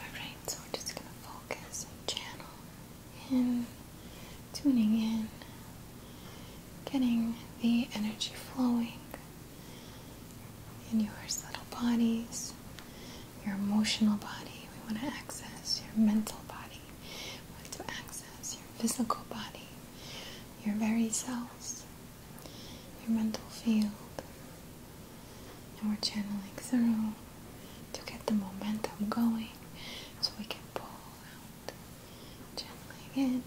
Alright, so we're just gonna focus and channel in, tuning in, getting the energy flowing in yours little bodies, your emotional body. We want to access your mental body, we want to access your physical body your very cells, your mental field. And we're channeling through to get the momentum going so we can pull out, channeling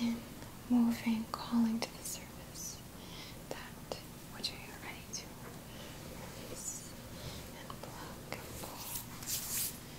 in, in, in, moving, calling to the surface that which you are ready to release and pluck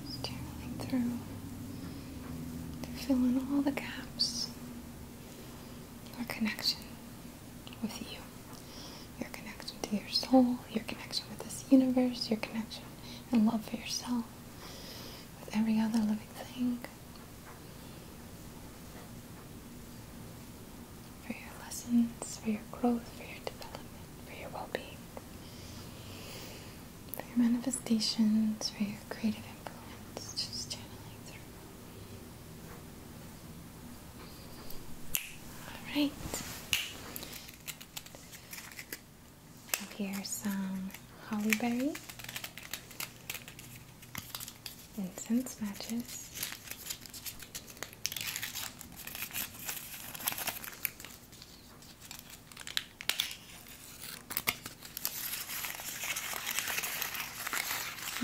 Just tunneling through to fill in all the gaps. Your connection with you, your connection to your soul, your connection with this universe, your connection and love for yourself, with every other living thing for your lessons, for your growth, for your development, for your well being, for your manifestations, for your creative influence. Just channeling through. Alright. Here's some holly berry incense matches.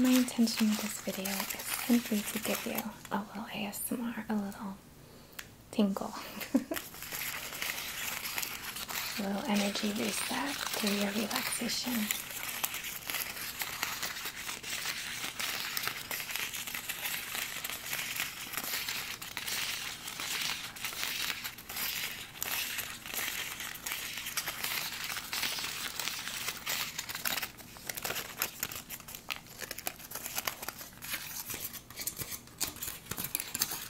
My intention with this video is simply to give you a little ASMR, a little tingle. A little energy boost back through your relaxation.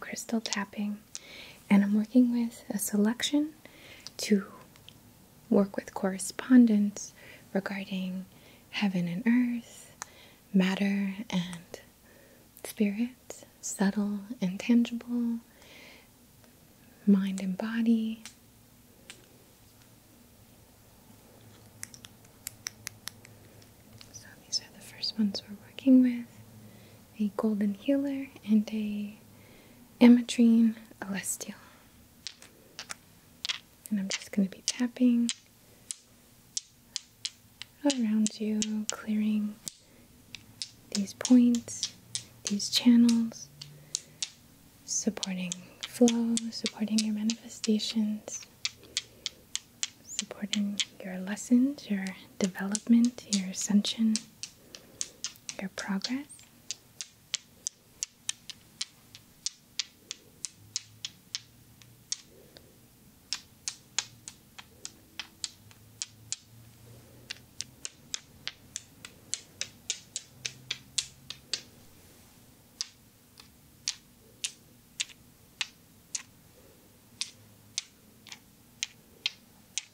crystal tapping and I'm working with a selection to work with correspondence regarding heaven and earth, matter and spirit, subtle and tangible, mind and body. So these are the first ones we're working with a golden healer and a ametrine Alestial. And I'm just going to be tapping around you, clearing these points, these channels, supporting flow, supporting your manifestations, supporting your lessons, your development, your ascension your progress.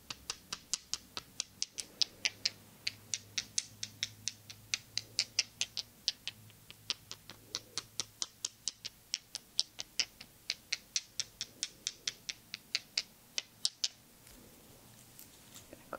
go through, through. Through.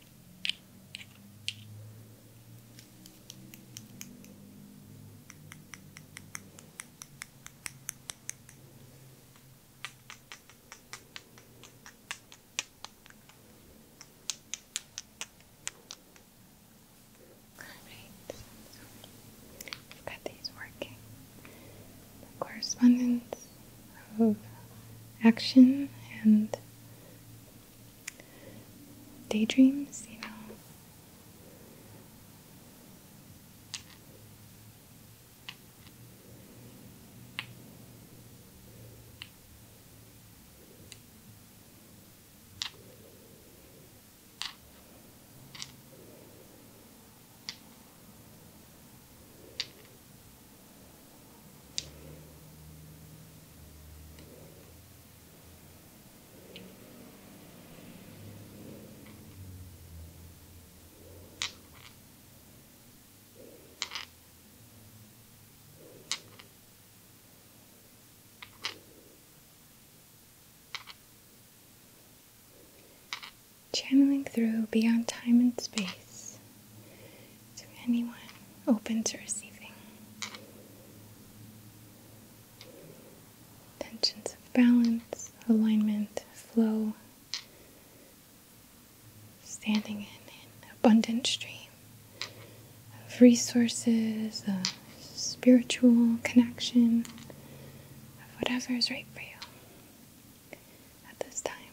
Alright, we these working. The correspondence of action and daydreams, you know. Channeling through beyond time and space to anyone open to receiving tensions of balance, alignment, flow, standing in an abundant stream of resources, of spiritual connection, of whatever is right for you at this time.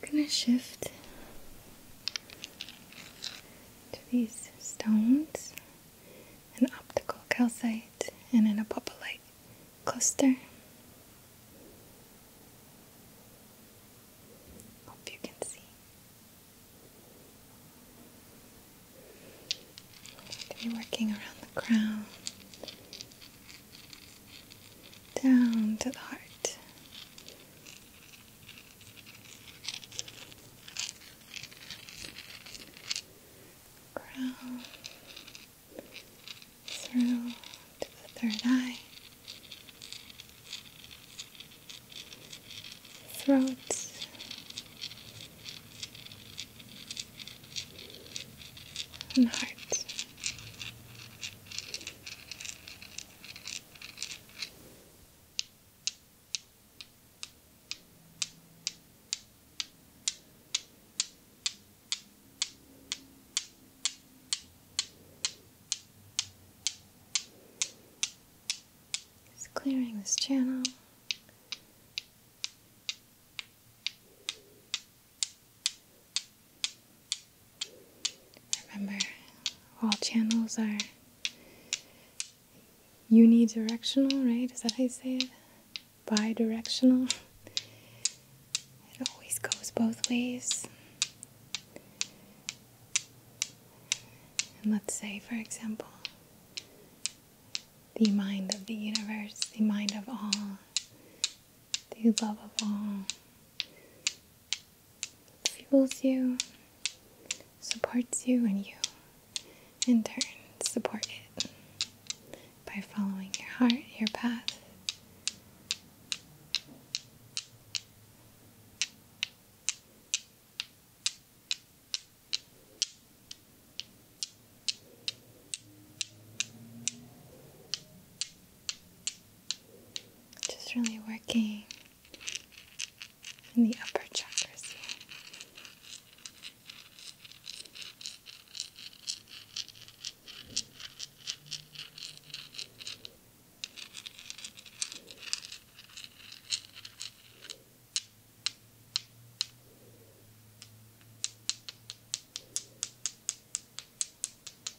We're gonna shift to these stones an optical calcite and an apophyllite cluster. Hope you can see. I'm working around the crown, down to the heart, crown through to the third eye, throat. And heart. Just clearing this channel. Remember, all channels are unidirectional, right? Is that how you say it? Bidirectional. It always goes both ways. And let's say, for example, the mind of the universe, the mind of all, the love of all, fuels you, supports you, and you, in turn, support it by following your heart, your path. Just really working in the upper chakras here.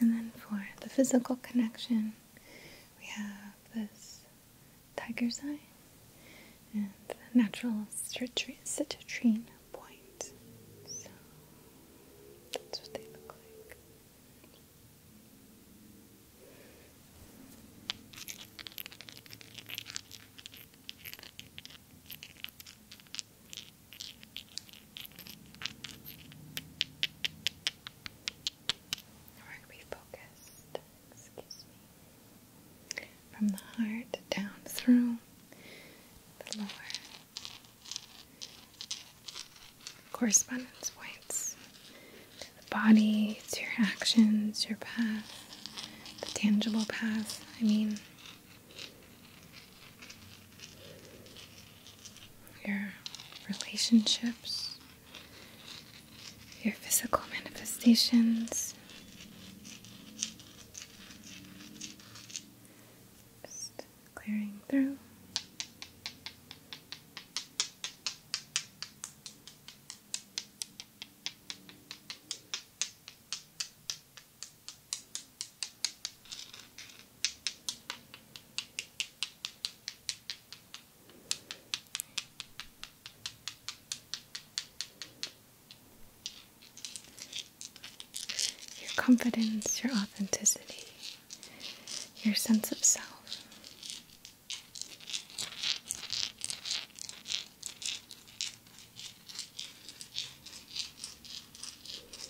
And then for the physical connection, we have this tiger's eye and the natural citrine point. So that's what they look like. We're refocused, from the heart down through the lower correspondence points to the body, to your actions, your path, the tangible path, I mean your relationships, your physical manifestations. Just clearing through. Your confidence, your authenticity, your sense of self.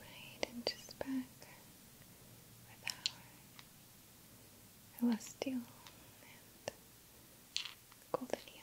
Right, and just back with our Celestial and Golden Healer.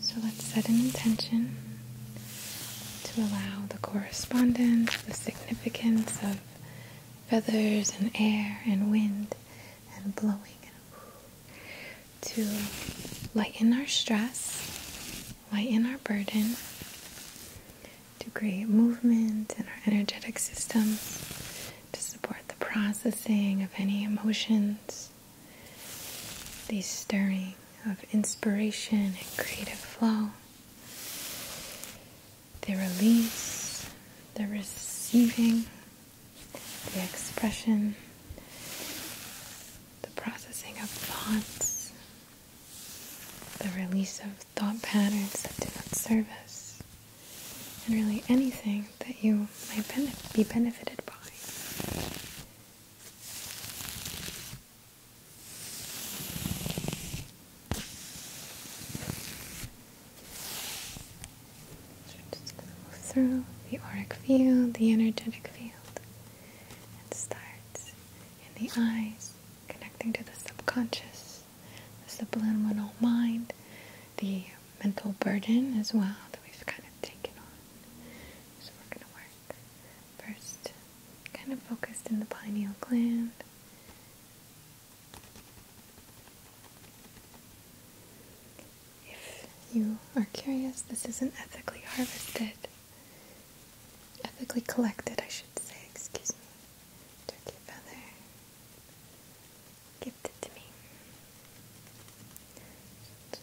So let's set an intention to allow the correspondence, the significance of feathers and air and wind and blowing to lighten our stress, lighten our burden, to create movement in our energetic systems, to support the processing of any emotions, these stirring of inspiration and creative flow, the release, the receiving, the expression, the processing of thoughts, the release of thought patterns that do not serve us, and really anything that you might be benefited by. We're going to move through the auric field, the energetic field, and starts in the eyes, connecting to the subconscious, the subliminal mind, the mental burden as well that we've kind of taken on. So we're going to work First, kind of focused in the pineal gland. If you are curious, this isn't ethically harvested, ethically collected, I should say, excuse me. Turkey feather gifted to me. Just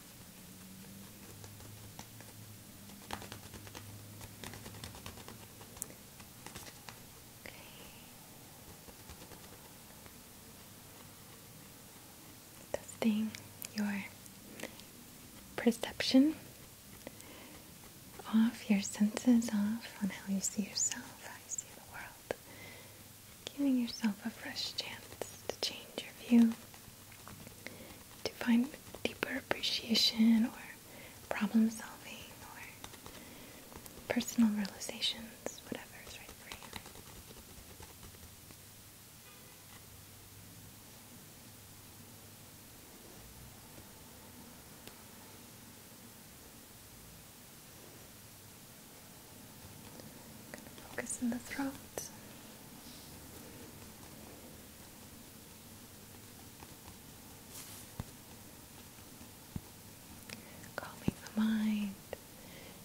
Testing your perception off, your senses off on how you see yourself, how you see the world giving yourself a fresh chance to change your view, to find deeper appreciation or problem solving or personal realizations, whatever is right for you. I'm going to focus in the throat. Calming the mind,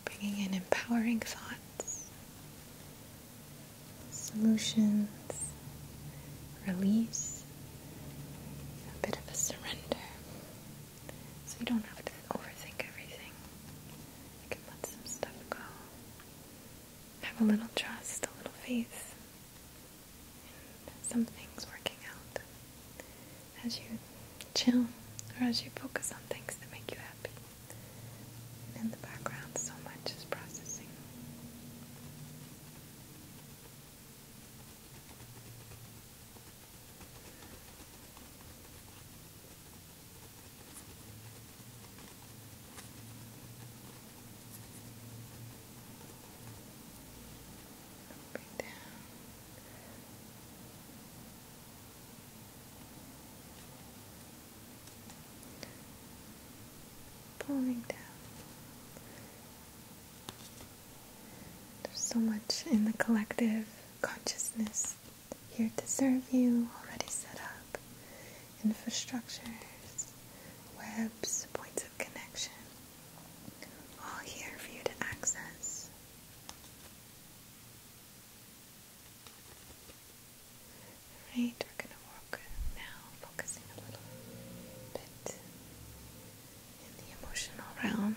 bringing in empowering thoughts, solutions, release, a bit of a surrender. So you don't have to overthink everything. You can let some stuff go. Have a little trust, a little faith and some things working out as you chill or as you focus on things that make you happy. And in the background, so much is processing. Right down. Pulling down. There's so much in the collective consciousness here to serve you, already set up, infrastructures, webs, points of connection, all here for you to access. Right, we're going to walk now, focusing a little bit in the emotional realm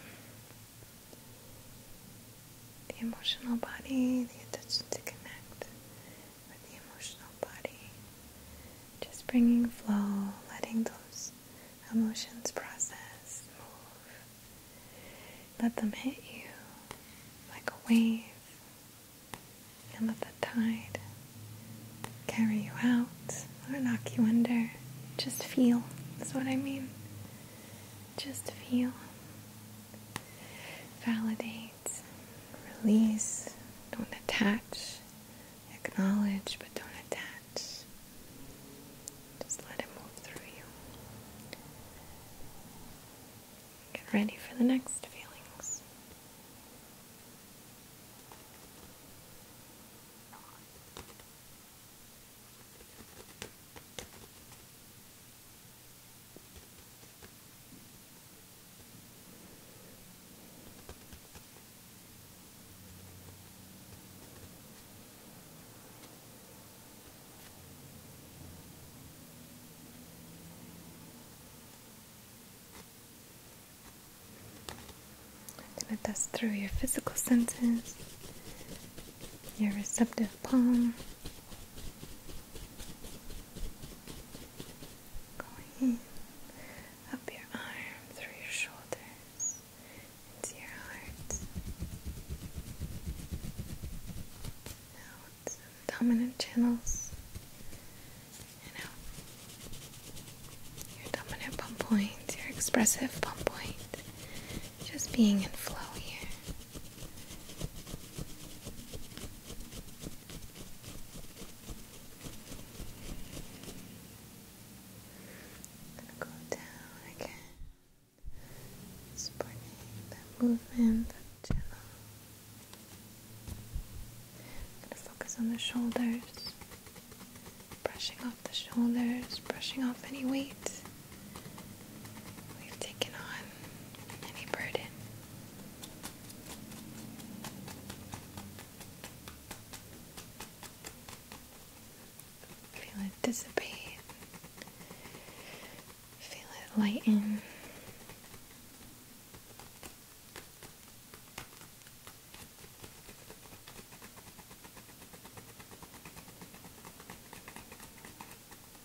the emotional body, the intention to connect with the emotional body. Just bringing flow, letting those emotions process, move. Let them hit you like a wave. And let the tide carry you out or knock you under. Just feel, is what I mean. Just feel, validate, release, don't attach, acknowledge, but don't attach. Just let it move through you. Get ready for the next feelings. I'm going to dust through your physical senses your receptive palm. Going up your arm through your shoulders into your heart. Out the dominant channels and out your dominant palm point, your expressive palm point. Just being in flow here. And down again, supporting the movement the channel. I'm going to focus on the shoulders, brushing off the shoulders, brushing off any weight we've taken on any burden. Feel it dissipate. Feel it lighten.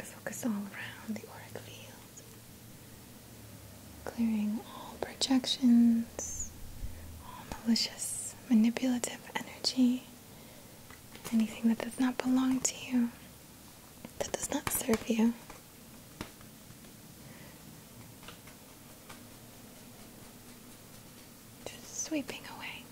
to focus all around the auric field, clearing all projections, all malicious, manipulative energy anything that does not belong to you, that does not serve you. Just sweeping away.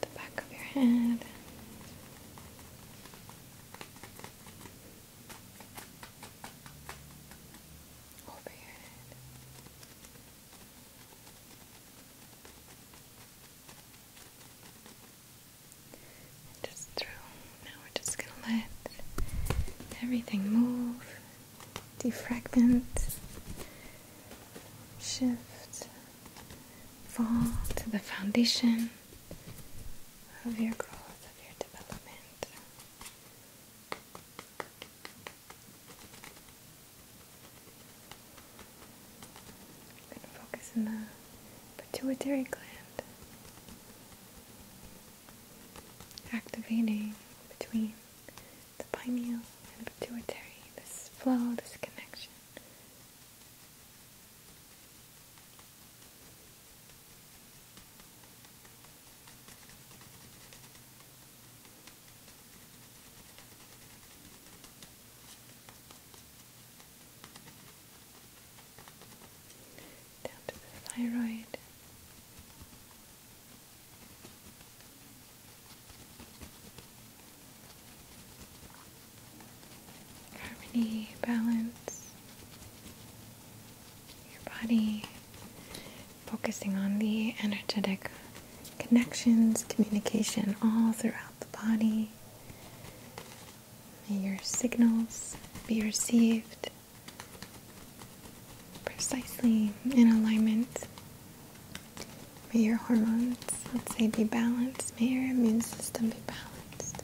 The back of your head just through. Now we're just gonna let everything move, defragment, shift, fall to the foundation of your growth, of your development. I'm going to focus on the pituitary gland, activating between the pineal and the pituitary, this flow, this connection. Down to the thyroid harmony, balance, your body, focusing on the energetic connections, communication all throughout the body. May your signals be received precisely in alignment. May your hormones, let's say, be balanced. May your immune system be balanced.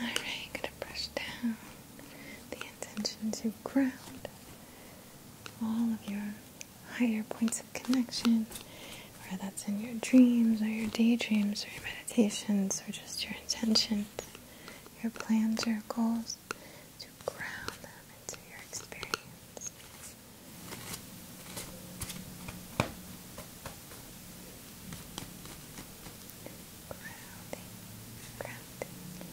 All right, gonna brush down the intention to ground all of your higher points of connection, whether that's in your dreams or your daydreams or your meditations or just your intentions, your plans, your goals, to ground them into your experience. Grounding, grounding, grounding.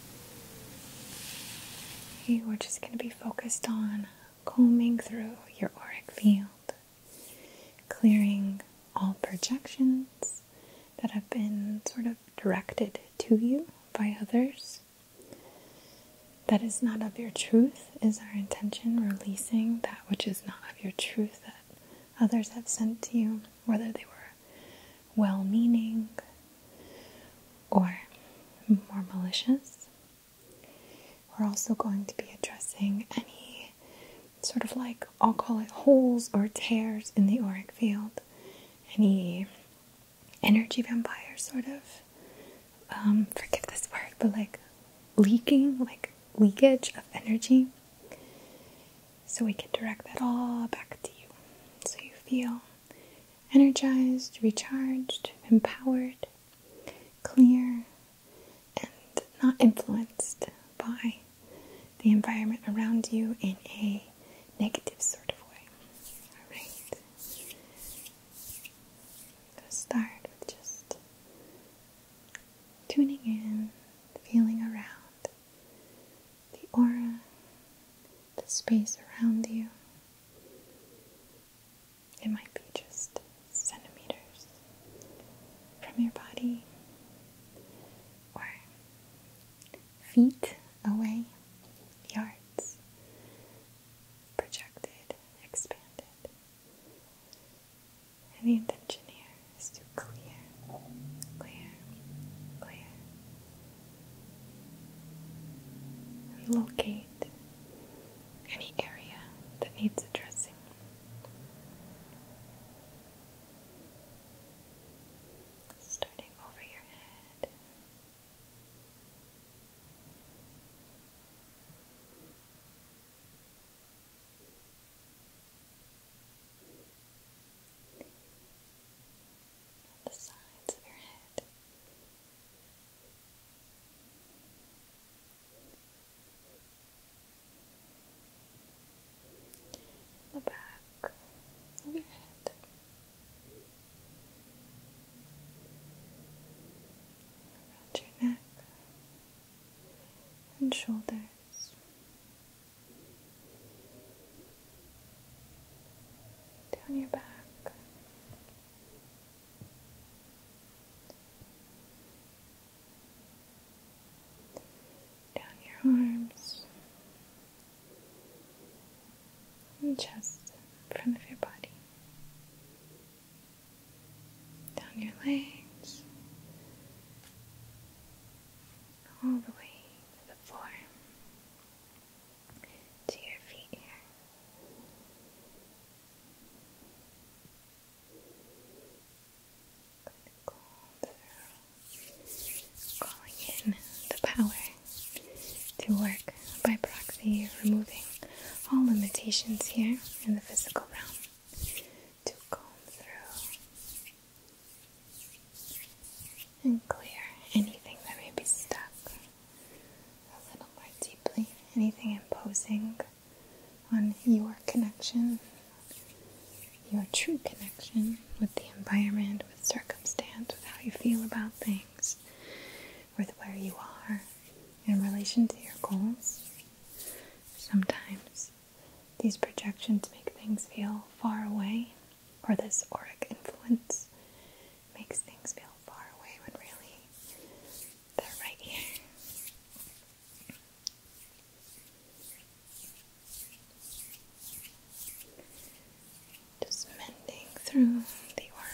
we're just going to be focused on combing through your auric field, clearing all projections that have been sort of directed to you by others. That is not of your truth, is our intention, releasing that which is not of your truth that others have sent to you, whether they were well meaning or more malicious. We're also going to be addressing any sort of like, I'll call it holes or tears in the auric field, any energy vampire sort of. Um, forgive this word, but like leaking, like leakage of energy. So we can direct that all back to you. So you feel energized, recharged, empowered, clear, and not influenced by the environment around you in a negative sort of way. Alright. Start with just tuning in, feeling around the aura, the space around you, it might be just centimeters from your body or feet away, yards, projected, expanded. And the intention here is to clear, clear, clear Locate any area that needs addressing. Starting over your head. The sides of your head, the back your head. Around your neck and shoulders, down your back. Down your arms and chest front of your body, down your legs, all the way to the floor to your feet here. Calling in the power to work by proxy, removing all limitations here in the physical realm to comb through and clear anything that may be stuck a little more deeply, anything imposing on your connection, your true connection with the environment, with circumstance, with how you feel about things, with where you are in relation to your goals. Sometimes these projections make things feel far away, or this auric influence makes things feel far away when really they're right here. Just mending through the aura.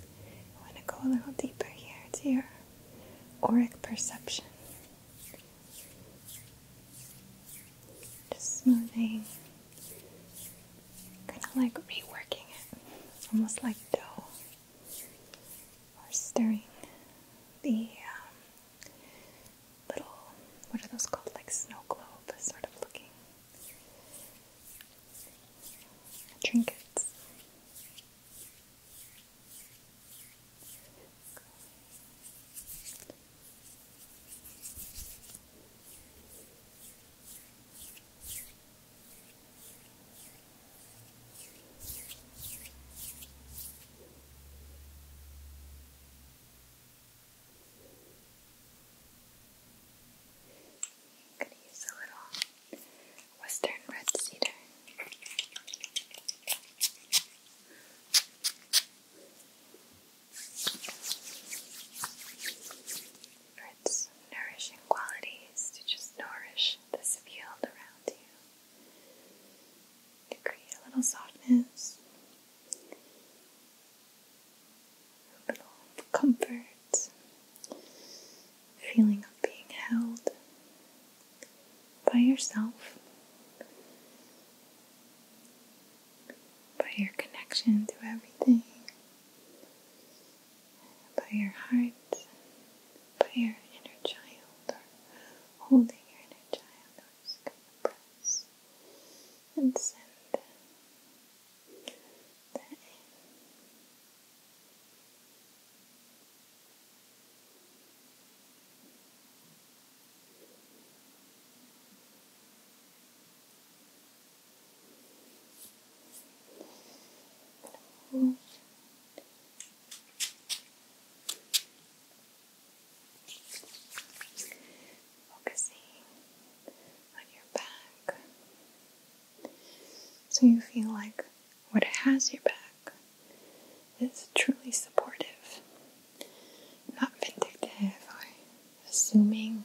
I want to go a little deeper here to your auric perception. Just smoothing, kind of like reworking it, almost like dough, or stirring the um, little, what are those called, like snow globe sort of looking trinkets. I could use a little western red cedar. its nourishing qualities to just nourish this field around you, to create a little softness, a little comfort heart, feeling of being held by yourself, by your connection to everything, by your heart, by your inner child, or holding your inner child, or just and send that in. Focusing on your back so you feel like what has your back is truly supportive, not vindictive or assuming,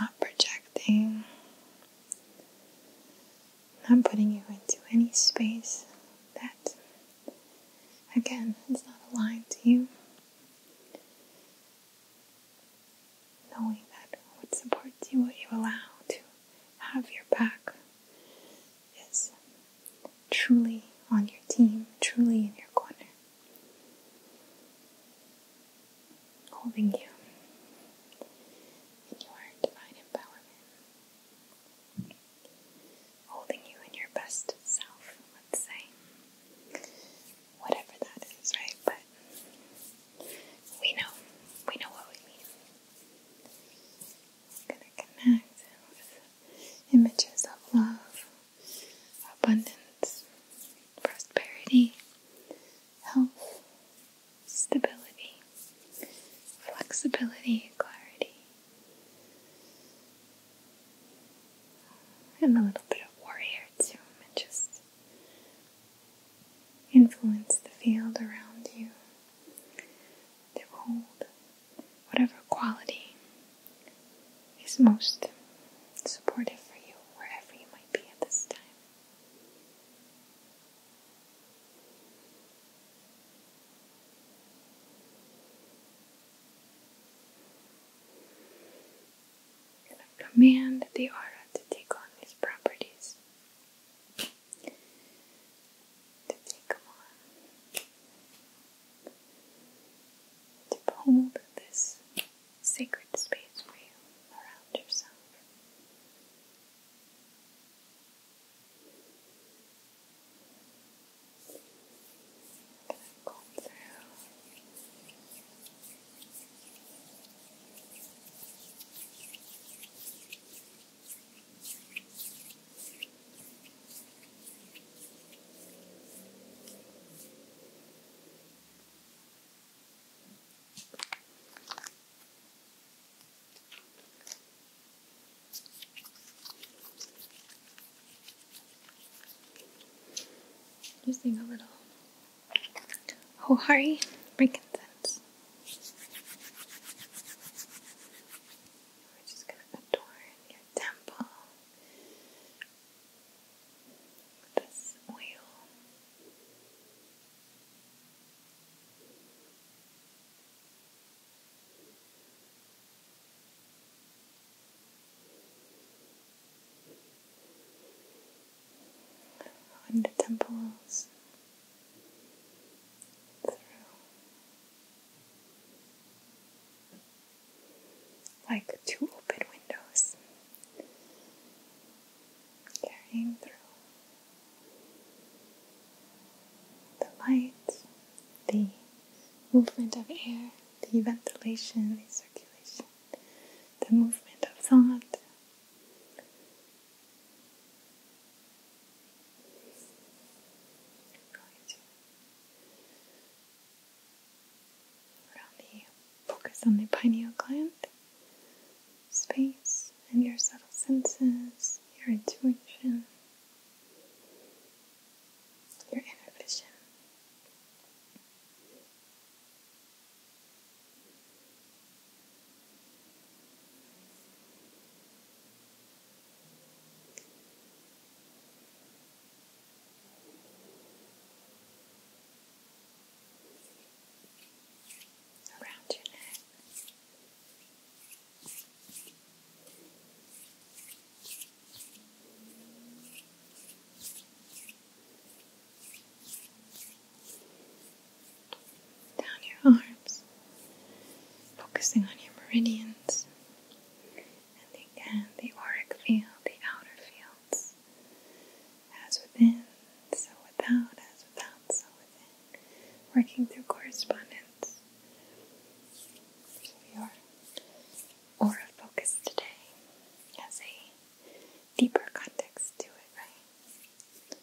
not projecting, not putting you into any space that, again, is not aligned to you. Knowing that what supports you, what you allow to have your back is truly on your team, truly in your corner, holding you in your divine empowerment, holding you in your best self, let's say. Whatever that is, right? But we know, we know what we mean. gonna connect with images of love, abundance, prosperity, health, stability, flexibility, clarity, and a little bit of warrior too, and influence the field around you. They hold whatever quality is most supportive for you wherever you might be at this time. And command the aura to take on these properties the big one to hold this sacred space for you around yourself. Go through Using a little Hohari oh, frankincense. We're just going to adorn your temple with this oil. When the temples like two open windows carrying through the light, the movement of air, the ventilation, the circulation, the movement of thought, focus on the pineal gland, space, and your subtle senses, your intuition, your inner vision around your neck down your arms, focusing on your meridians and again the auric field, the outer fields, as within, so without, as without, so within, working through correspondence. your aura focus today has a deeper context to it, right?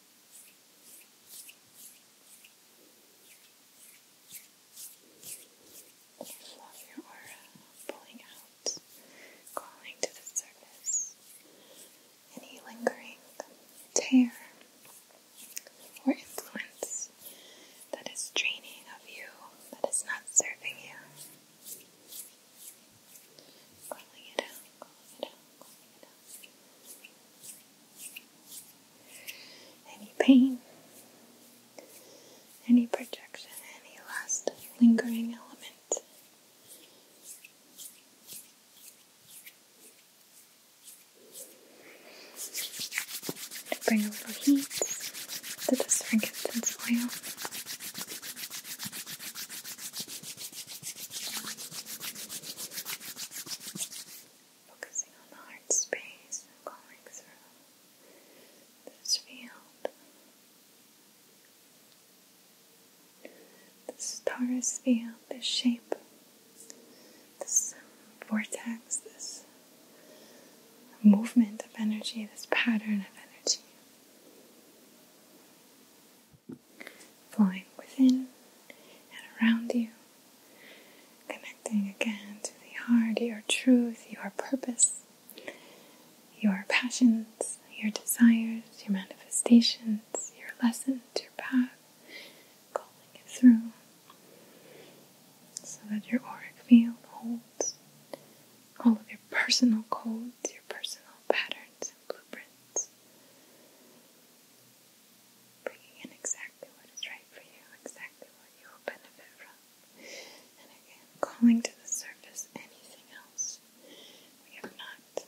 Just your aura pulling out, crawling to the surface. Any lingering tear or influence that is draining of you, that is not serving you. Calling it out, calling it out, calling it out. Any pain, any projection, any last lingering element. To Bring a little heat to this frankincense oil. Focusing on the heart space and this field. This torus field, this shape, this vortex, this movement of energy, this pattern of energy flowing within and around you, connecting again to the heart, your truth, your purpose, your passions, your desires, your manifestations, your lessons, your path, calling it through so that your auric field holds all of your personal codes, your personal patterns and blueprints, bringing in exactly what is right for you, exactly what you will benefit from. And again, calling to the surface anything else we have not.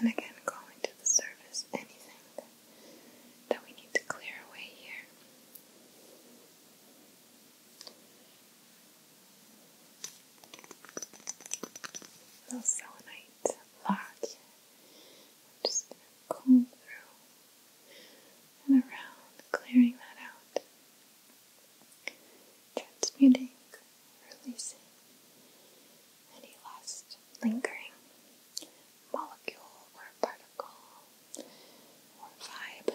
And again, calling to the surface anything that, we need to clear away here. Little selenite lock. I'm just going to comb through and around, clearing that out, transmuting, releasing any last lingering molecule or particle or vibe.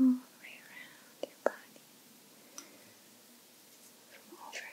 All the way around your body, from overhead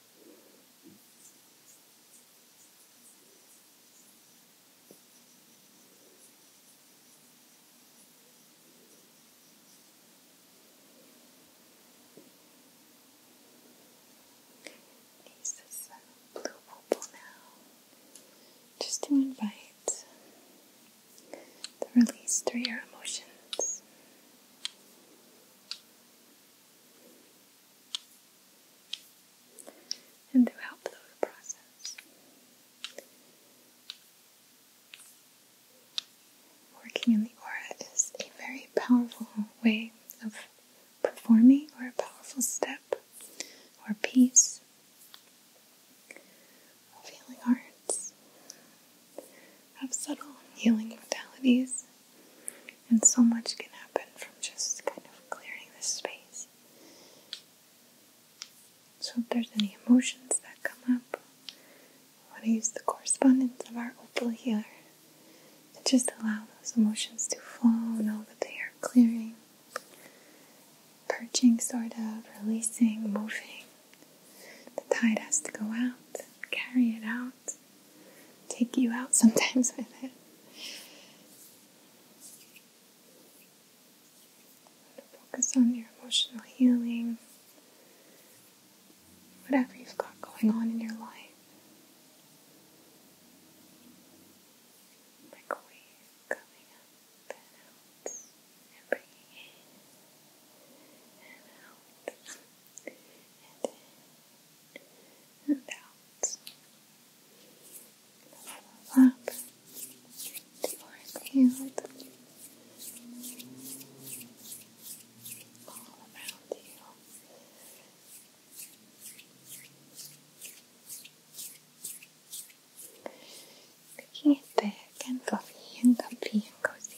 Use this uh, blue opal now just to invite the release through your emotions and to help through the process. Working in the aura is a very powerful way of performing or a powerful step or piece of healing arts, of subtle healing modalities and so much can happen from just kind of clearing the space. So, if there's any emotions that come up, I want to use the correspondence of our opal healer to just allow those emotions to flow, know that they are clearing, perching, sort of, releasing, moving. The tide has to go out, carry it out, take you out sometimes with it. Focus on your emotional healing, whatever you've got going on in your life. Like a coming up and out and out and out. Lap the orange all around you. Making it big and fluffy and comfy and cozy.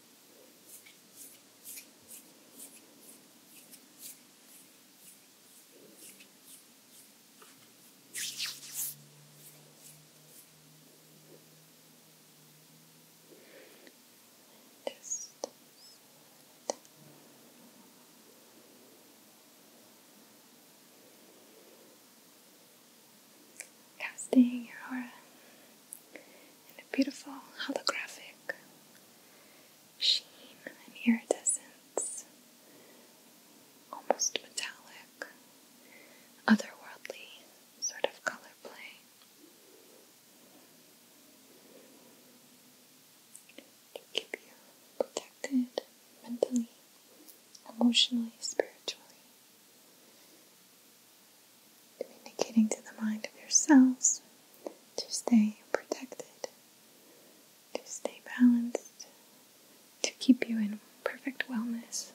Just casting your aura and a beautiful holographic sheen and iridescence, almost metallic, otherworldly sort of color play. To keep you protected mentally, emotionally, spiritually, communicating to the mind of yourselves to stay protected, to stay balanced, to keep you in perfect wellness.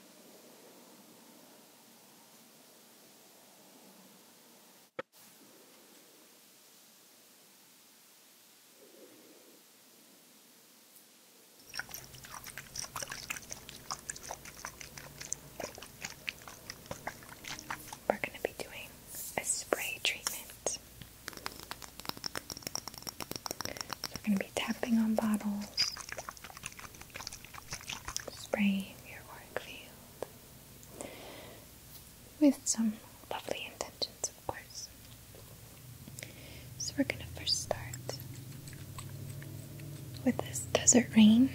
We're going to be doing a spray treatment. So we're going to be tapping on bottles, spraying your work field with some lovely intentions, of course. So we're going to first start with this desert rain.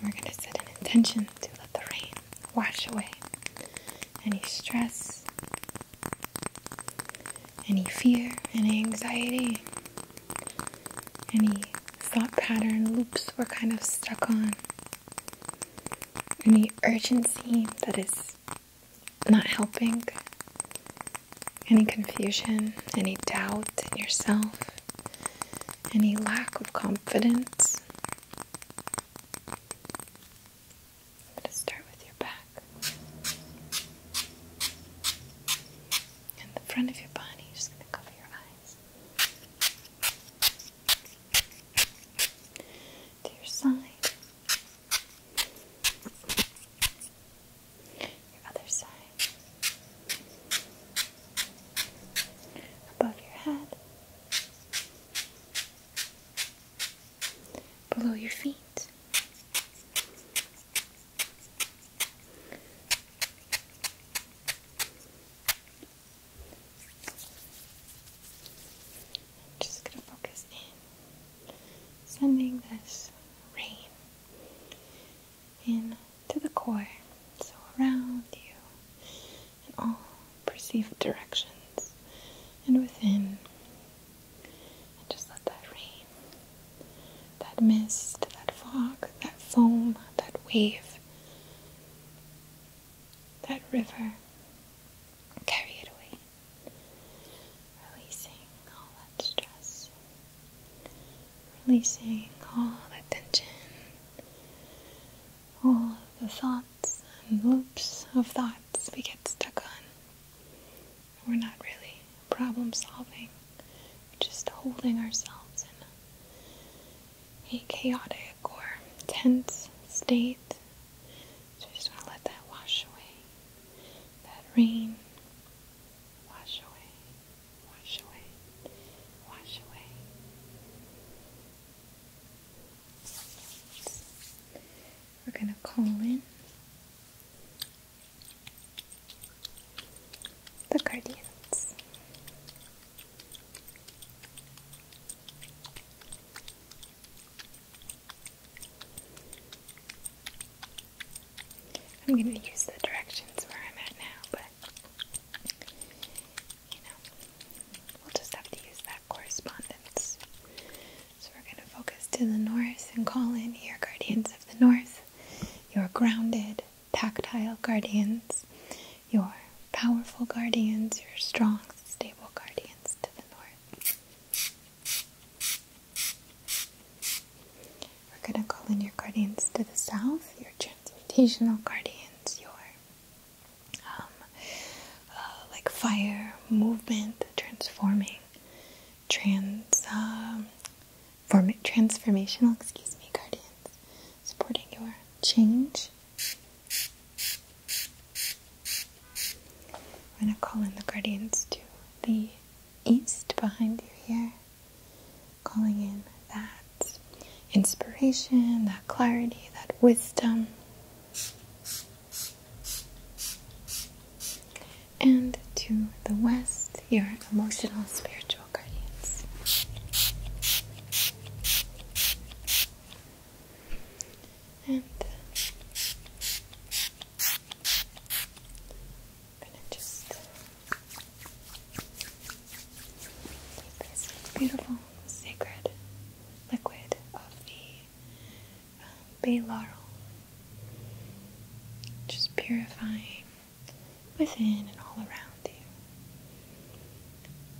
And we're going to set an intention to let the rain wash away any stress, any fear, any anxiety, any thought pattern loops we're kind of stuck on, any urgency that is not helping any confusion, any doubt in yourself, any lack of confidence. I'm going to start with your back and the front of your body. Just going to cover your eyes. To your side your other side, above your head, below your feet. I'm just going to focus in, sending this rain in to the core, so around you in all perceived directions and within. And just let that rain, that mist, that fog, that foam, that wave, that river carry it away, releasing all that stress releasing all the tension, all the thoughts and loops of thoughts we get stuck on. We're not really problem solving, just holding ourselves in a chaotic or tense state. So we just want to let that wash away, that rain wash away wash away, wash away. We're going to call in the guardians. I'm gonna use the directions where I'm at now, but you know, we'll just have to use that correspondence. So we're gonna focus to the north and call in your guardians of the north, your grounded, tactile guardians, your powerful guardians, your strong, stable guardians to the north. We're going to call in your guardians to the south, your transmutational guardians, your um, uh, like fire, movement, transforming, trans, um, form transformational, excuse me, guardians, supporting your change. We're going to call in the guardians to the east behind you here calling in that inspiration, that clarity, that wisdom. And to the west, your emotional and spiritual guardians i just this beautiful sacred liquid of the um, bay laurel, just purifying within and all around you.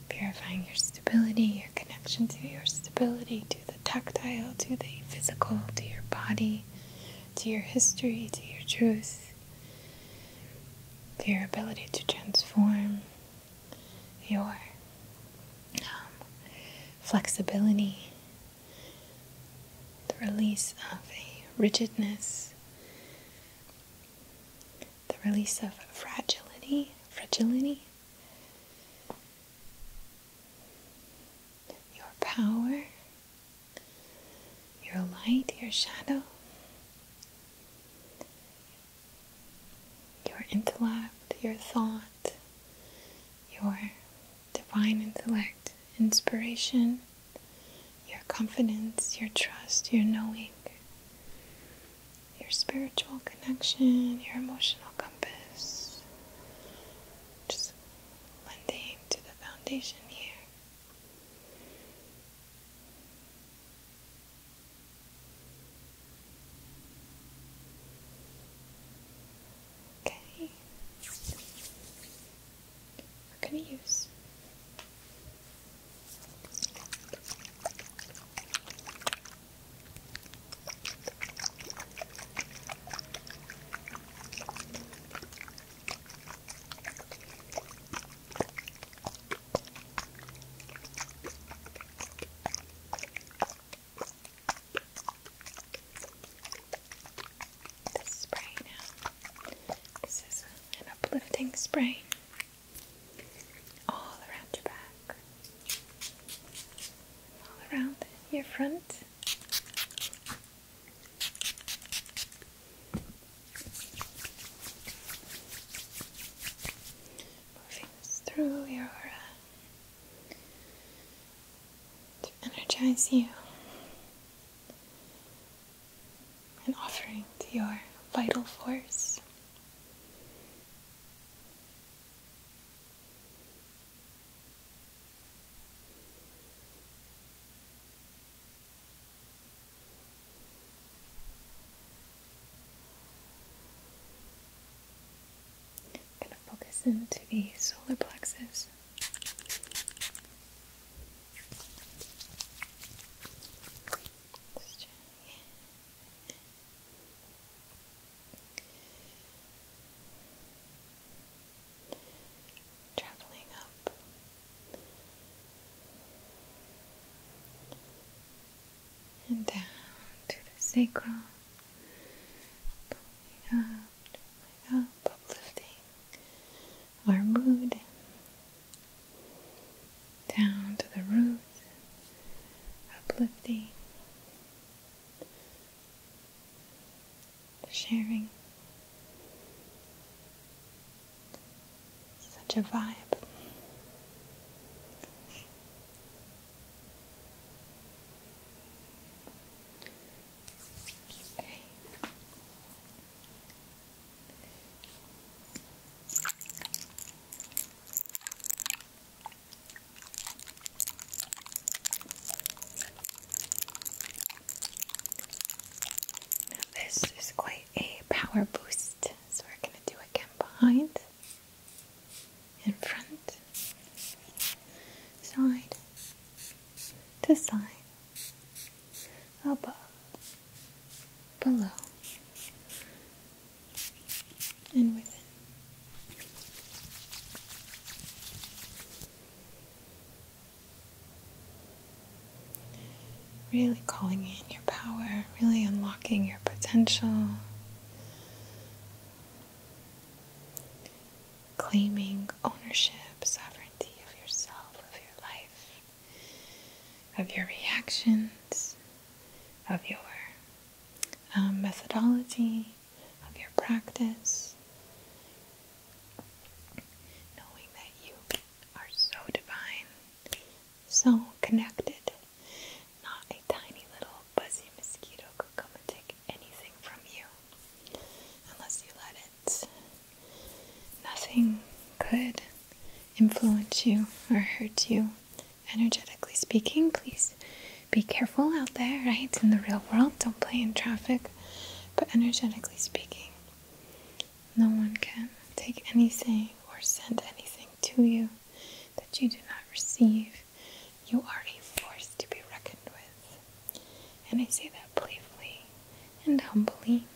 Purifying your stability, your connection to your stability, to the tactile, to the physical, to your body, to your history, to your truth, your ability to transform, your um, flexibility, the release of a rigidness, the release of fragility, fragility, your power your light, your shadow, your intellect, your thought, your divine intellect, inspiration, your confidence, your trust, your knowing, your spiritual connection, your emotional compass. Just lending to the foundation here. Okay. What can we use? This spray This is an uplifting spray all around your back, all around your front. Moving through your aura to energize you and offering to your vital force going to focus into the solar plexus traveling up. And down to the sacral, going up, going up, uplifting our mood, down to the roots, uplifting, sharing, such a vibe. this is quite a power boost. So we're going to do again behind, in front, side to side, above, below, and within. Really calling in your power, really unlocking your potential, claiming ownership, sovereignty of yourself, of your life, of your reactions, of your um, methodology, of your practice, knowing that you are so divine, so connected. Not a tiny little buzzy mosquito could come and take anything from you unless you let it. Nothing could influence you or hurt you energetically speaking. Please be careful out there, right? In the real world, don't play in traffic. But energetically speaking, no one can take anything or send anything to you that you do not receive. You are a force to be reckoned with. And I say that playfully and humbly.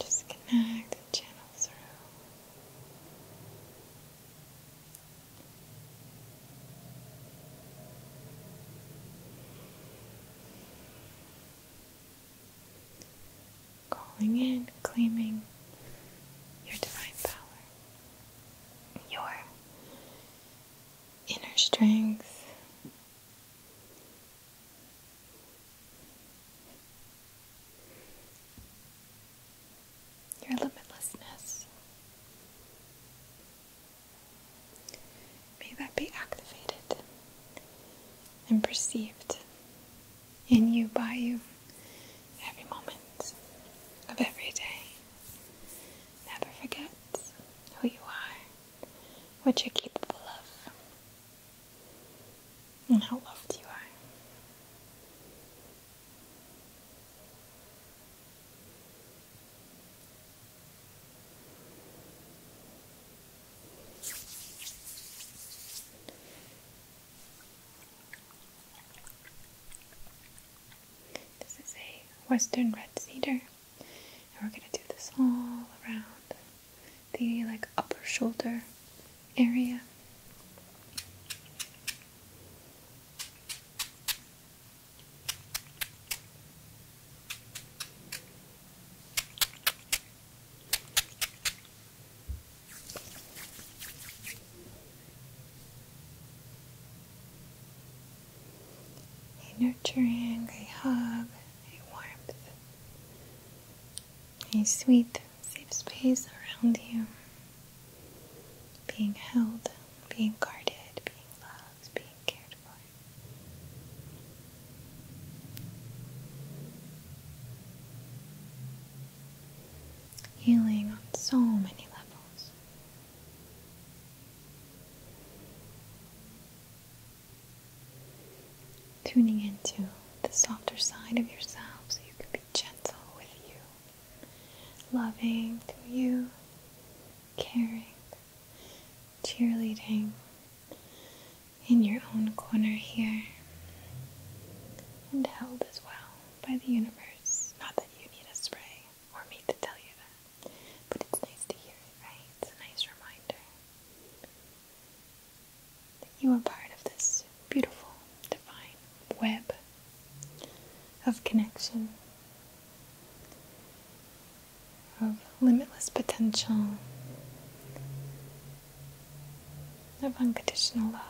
Just connect and channel through. Calling in, claiming your divine power, your inner strength your limitlessness. May that be activated and perceived in you, by you, every moment of every day. Never forget who you are, what you're capable of, and how loved you are. This is a western red cedar, and we're going to do this all around the like upper shoulder area. A nurturing, a hug, a warmth, a sweet, safe space around you, being held being guarded, being loved, being cared for. Healing on so many levels. Tuning into the softer side of yourself so you can be gentle with you, loving to you, caring, cheerleading in your own corner here and held as well by the universe. Not that you need a spray or me to tell you that, but it's nice to hear it, right? It's a nice reminder that you are part of this beautiful, divine web of connection, of limitless potential, of unconditional love,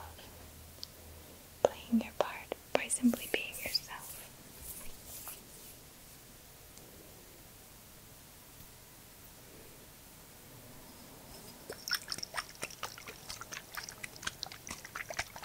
playing your part by simply being yourself.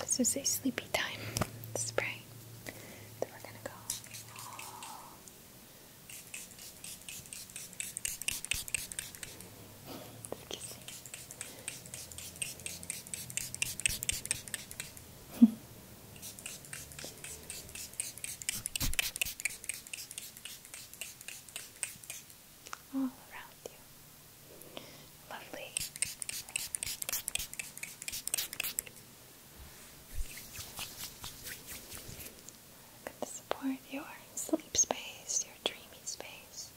This is a sleepy time spray that we're gonna go. all around you. Lovely. i support your sleep space, your dreamy space,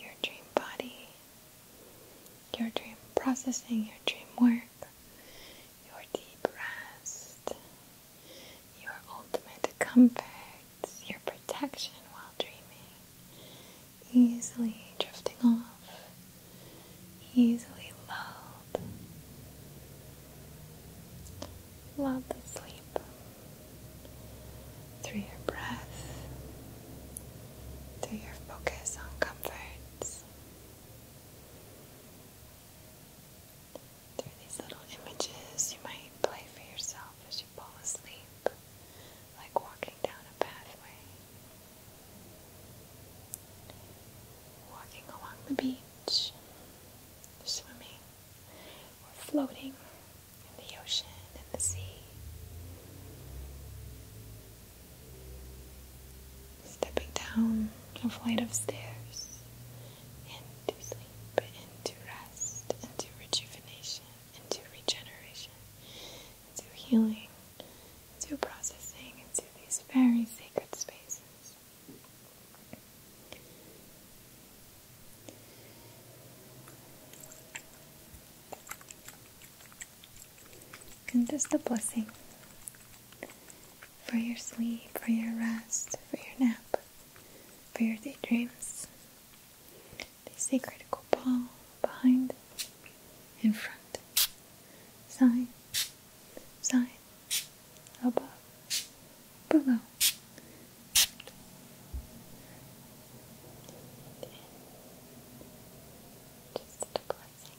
your dream body, your dream processing, your dream work, your deep rest, your ultimate comfort, your protection while dreaming, easily drifting off, easily lulled. Love the sleep through your breath, through your focus on comforts. Through these little images, you might play for yourself as you fall asleep, like walking down a pathway, walking along the beach, swimming, or floating in the ocean and the sea. Stepping down a flight of stairs into sleep, into rest, into rejuvenation, into regeneration, into healing, into processing, into these very sacred spaces. And just the blessing for your sleep, for your rest, for your nap, for your daydreams. They say critical behind, in front, side, side, above, below. Just a blessing.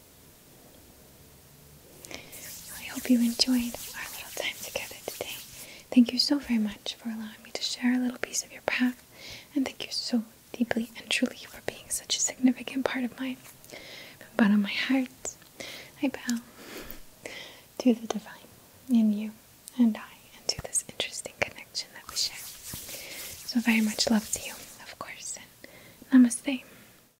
I hope you enjoyed our little time together today. Thank you so very much for allowing me to share a little piece of your path, and thank you so deeply and truly for being such a significant part of mine. From the bottom of my heart, I bow to the divine in you and I, and to this interesting connection that we share. So, very much love to you, of course, namaste.